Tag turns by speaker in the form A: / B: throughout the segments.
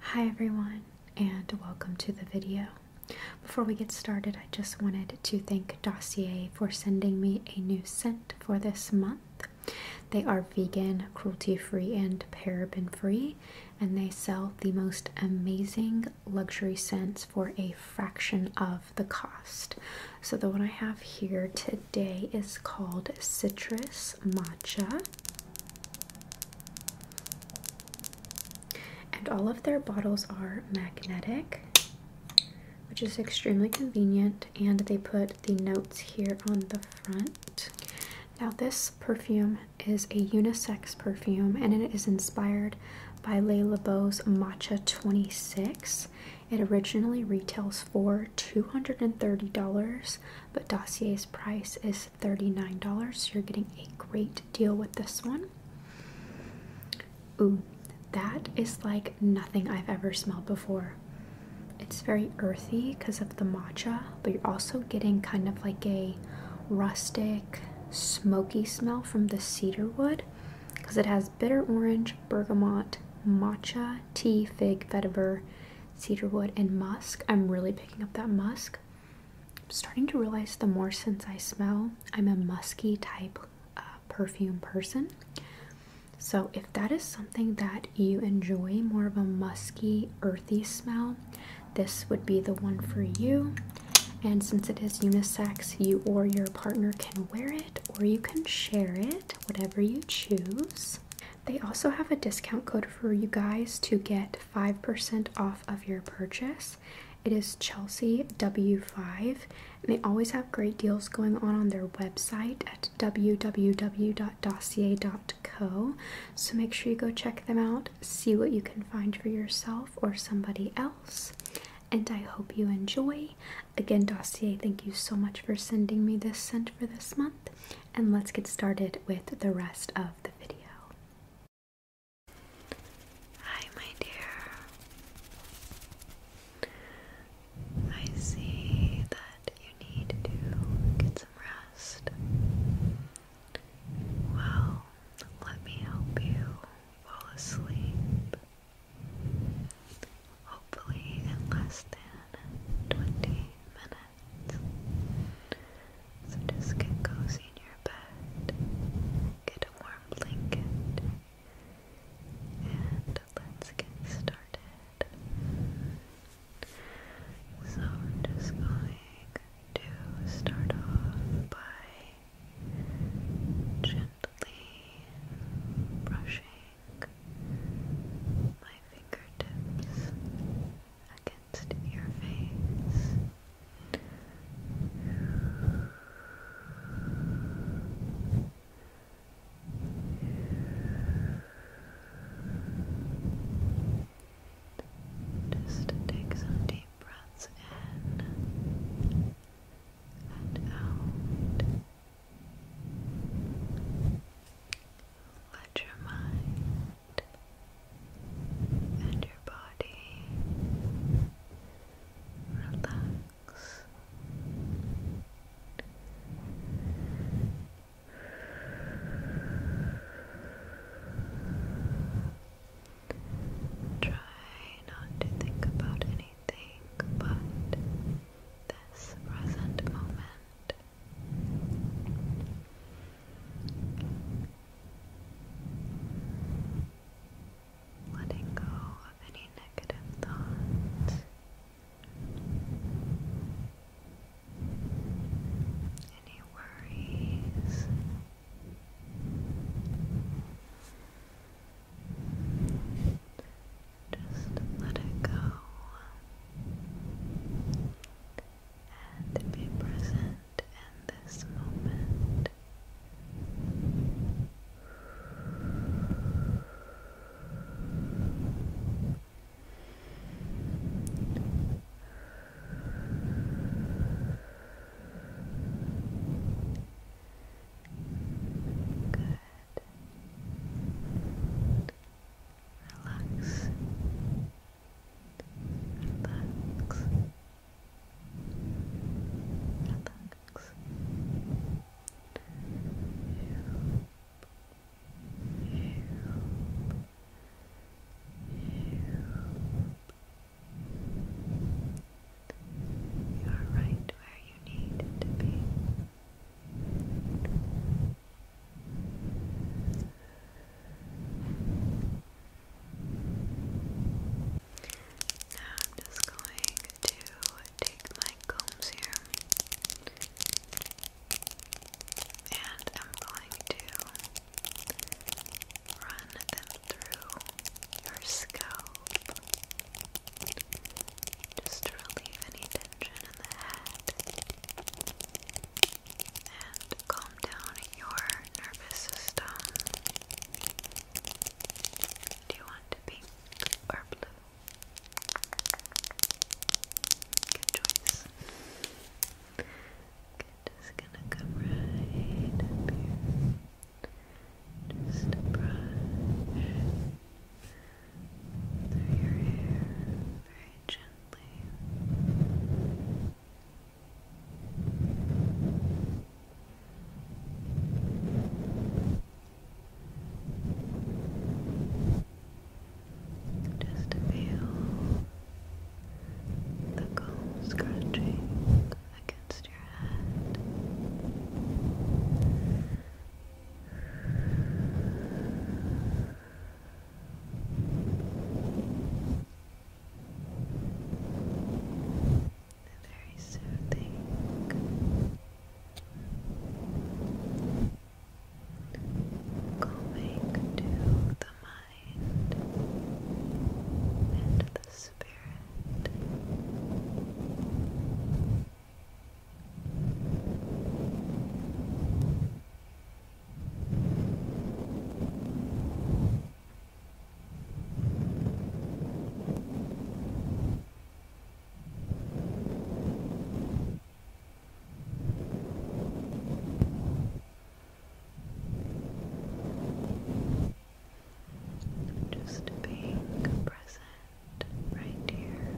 A: Hi everyone and welcome to the video. Before we get started I just wanted to thank Dossier for sending me a new scent for this month. They are vegan, cruelty free and paraben free and they sell the most amazing luxury scents for a fraction of the cost. So the one I have here today is called Citrus Matcha. And all of their bottles are magnetic, which is extremely convenient. And they put the notes here on the front. Now, this perfume is a unisex perfume and it is inspired by Le Lebeau's Matcha 26. It originally retails for $230, but Dossier's price is $39. So you're getting a great deal with this one. Ooh, that is like nothing I've ever smelled before. It's very earthy because of the matcha, but you're also getting kind of like a rustic, smoky smell from the cedar wood because it has bitter orange, bergamot, matcha, tea, fig, vetiver, cedarwood, and musk. I'm really picking up that musk. I'm starting to realize the more since I smell, I'm a musky type uh, perfume person. So, if that is something that you enjoy, more of a musky, earthy smell, this would be the one for you. And since it is unisex, you or your partner can wear it or you can share it, whatever you choose. They also have a discount code for you guys to get 5% off of your purchase. It is Chelsea W5, and they always have great deals going on on their website at www.dossier.co. So make sure you go check them out, see what you can find for yourself or somebody else. And I hope you enjoy. Again, Dossier, thank you so much for sending me this scent for this month and let's get started with the rest of the video. Hi, my dear. I see that you need to get some rest. Well, let me help you fall asleep. Hopefully, in less than 20 minutes
B: bed. So just get cozy in your bed, get a warm blanket, and let's get started. So we're just going to start off by gently brushing my fingertips against your face. Just take some deep breaths in and out. Let your mind and your body relax. Try not to think about anything but this present moment. Letting go of any negative thoughts any worries just let it go and be present in this moment. Good. Relax relax, relax. You are right where you need to be. Now I'm just going to take my combs here and I'm going to run them through your scalp just to relieve any tension in the head and calm down your nervous system. Do you want pink or blue? Good choice. just gonna come right up here. Just brush through your hair very gently. Just to feel the combs crunching against your head. Very soothing, calming to the mind and the spirit. Just being present right here.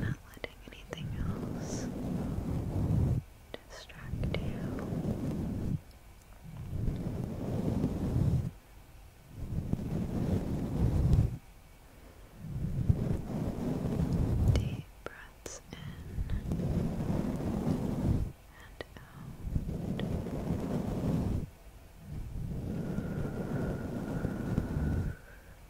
B: Not letting letting anything else distract you. Deep breaths in and out.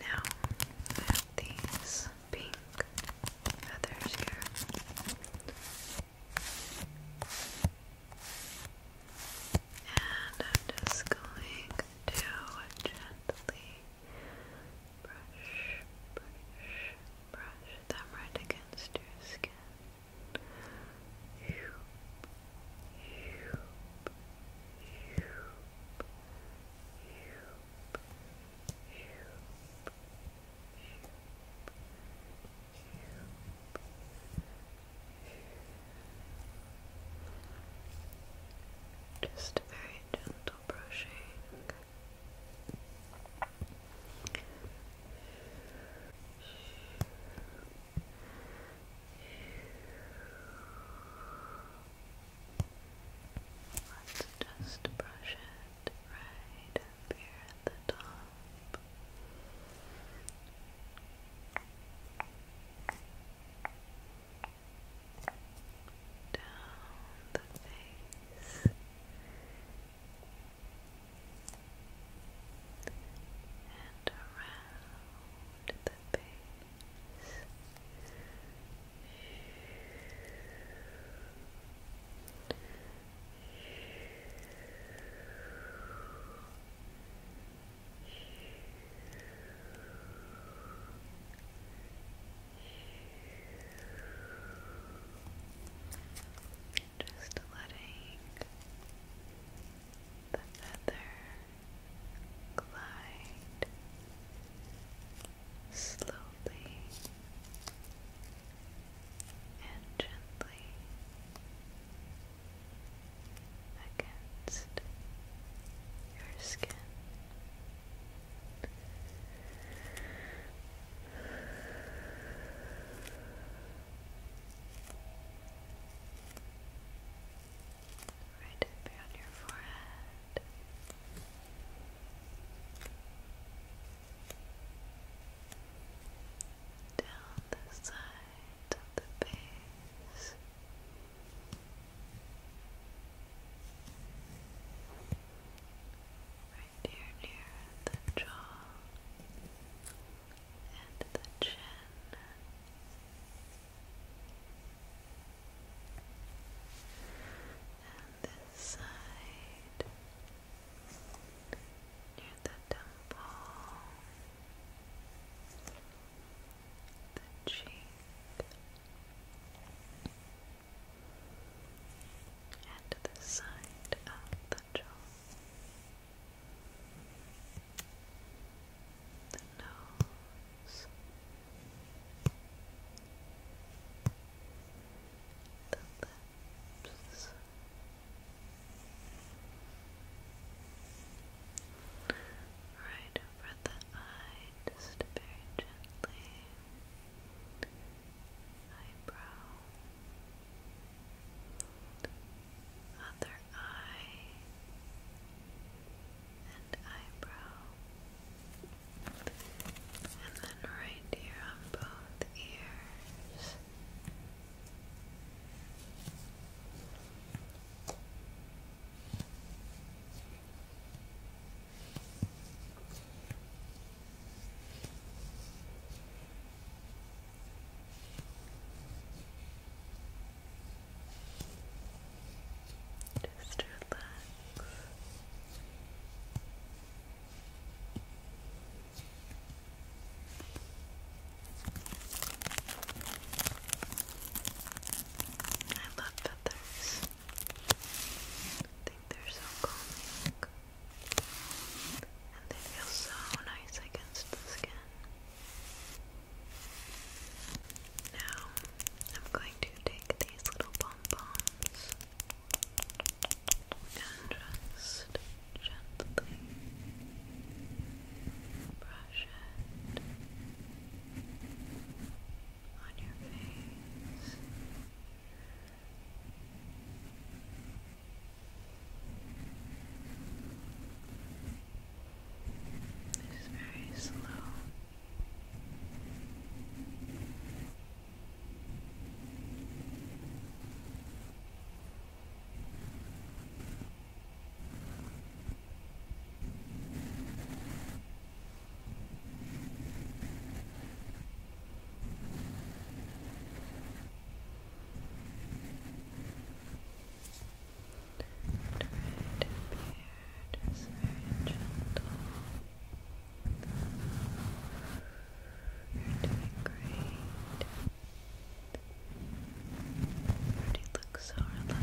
B: Now I have these pink feathers here. And I'm just going to gently brush, brush, brush them right against your skin. Shoop, shoop, shoop, shoop, shoop, shoop, shoop. Just very gentle brushing. Let's just brush it right here at the top down the face and around the face. Just letting the feather glide slowly and gently against your skin. Right over on your forehead. Down the sides of the face right near the jaw and the chin. And this side near the temple, the cheek, and the side of the jaw, the nose, the lips. Right over the eye, just very gently eyebrow, other eye, and eyebrow, and then right here on both ears. Just relax. I love feathers. I think they're so calming. And they feel so nice against the skin. Now, I'm going to take these little pom poms and just gently brush it on your face. It's very slow just very gentle. You're doing great. already look so relaxed.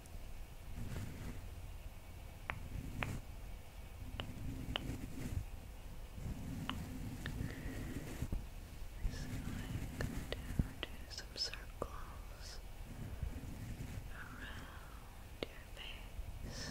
B: So I'm going to do some circles around your face.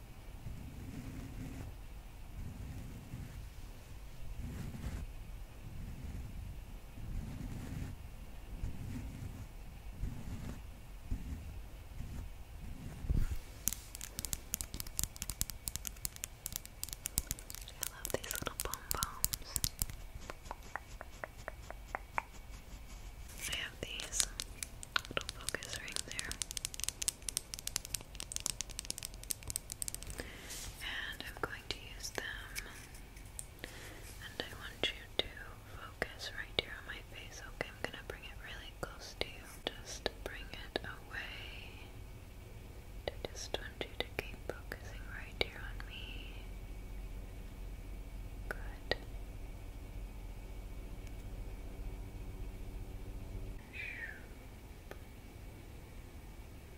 B: I love these little pom poms. I have these little focus ring there. And I'm going to use them. And I want you to focus right here on my face. Okay, I'm gonna bring it really close to you. Just bring it away. I just want you to keep focusing right here on me. Good good.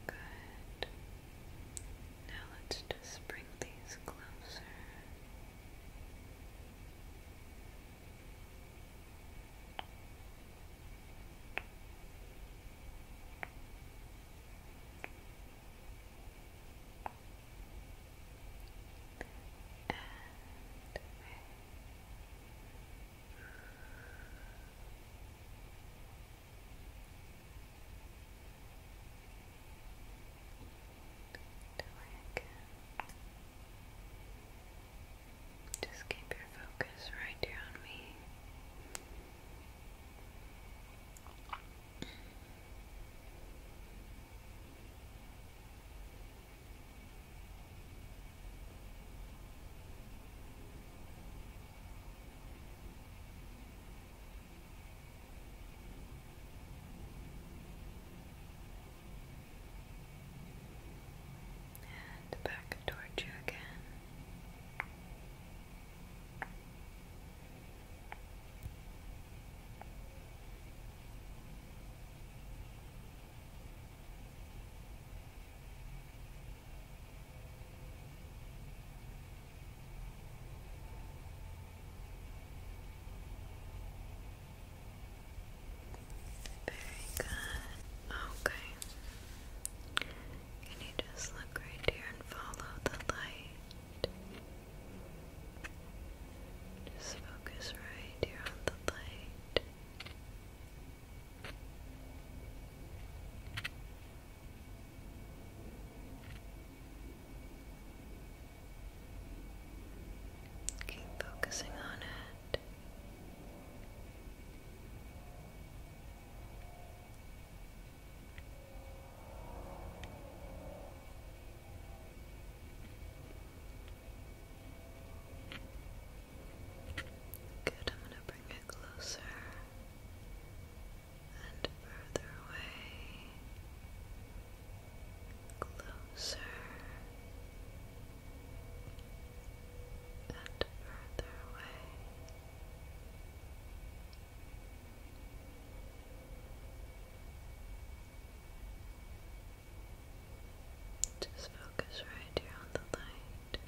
B: Good. Now let's just bring these closer and just keep your focus right here on me. And back towards you again. Very good. Okay. Can you just look right here and follow the light? Just focus right here on the light. Keep focusing on it. Good, I'm going to bring it closer and further away. Closer and further away. Just focus right here on the light.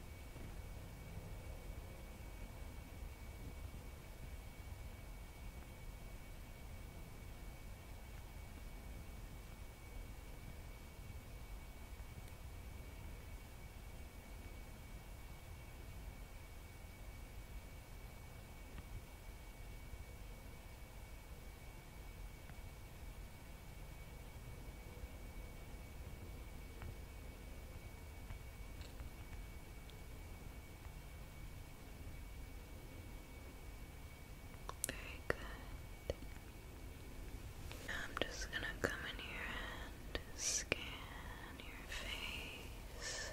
B: Very good. I'm just going to come in here and scan your face.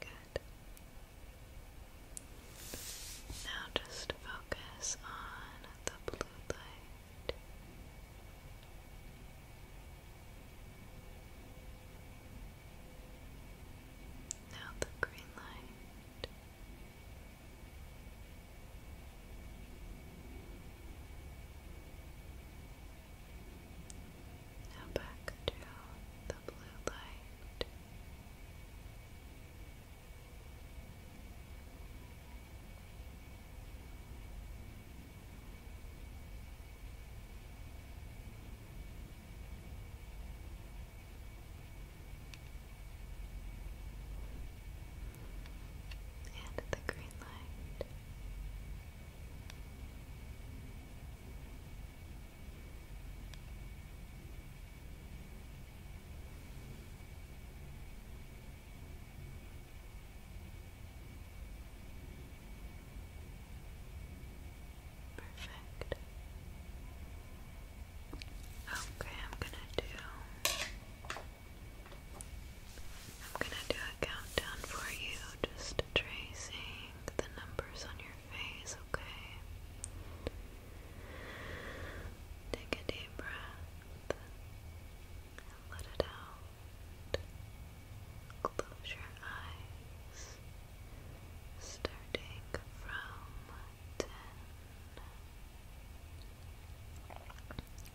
B: Good. Now just focus on the blue light. Now the green light. Now back to the blue light and the green light. Perfect. Okay, I'm gonna do I'm gonna do a countdown for you, just tracing the numbers on your face, okay? Take a deep breath and let it out. Close your eyes, starting from ten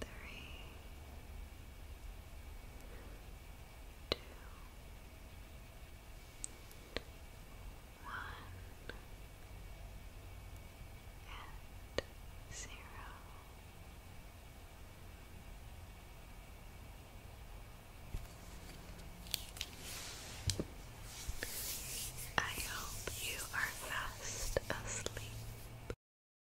B: three, two, one, and zero. I hope you are fast asleep.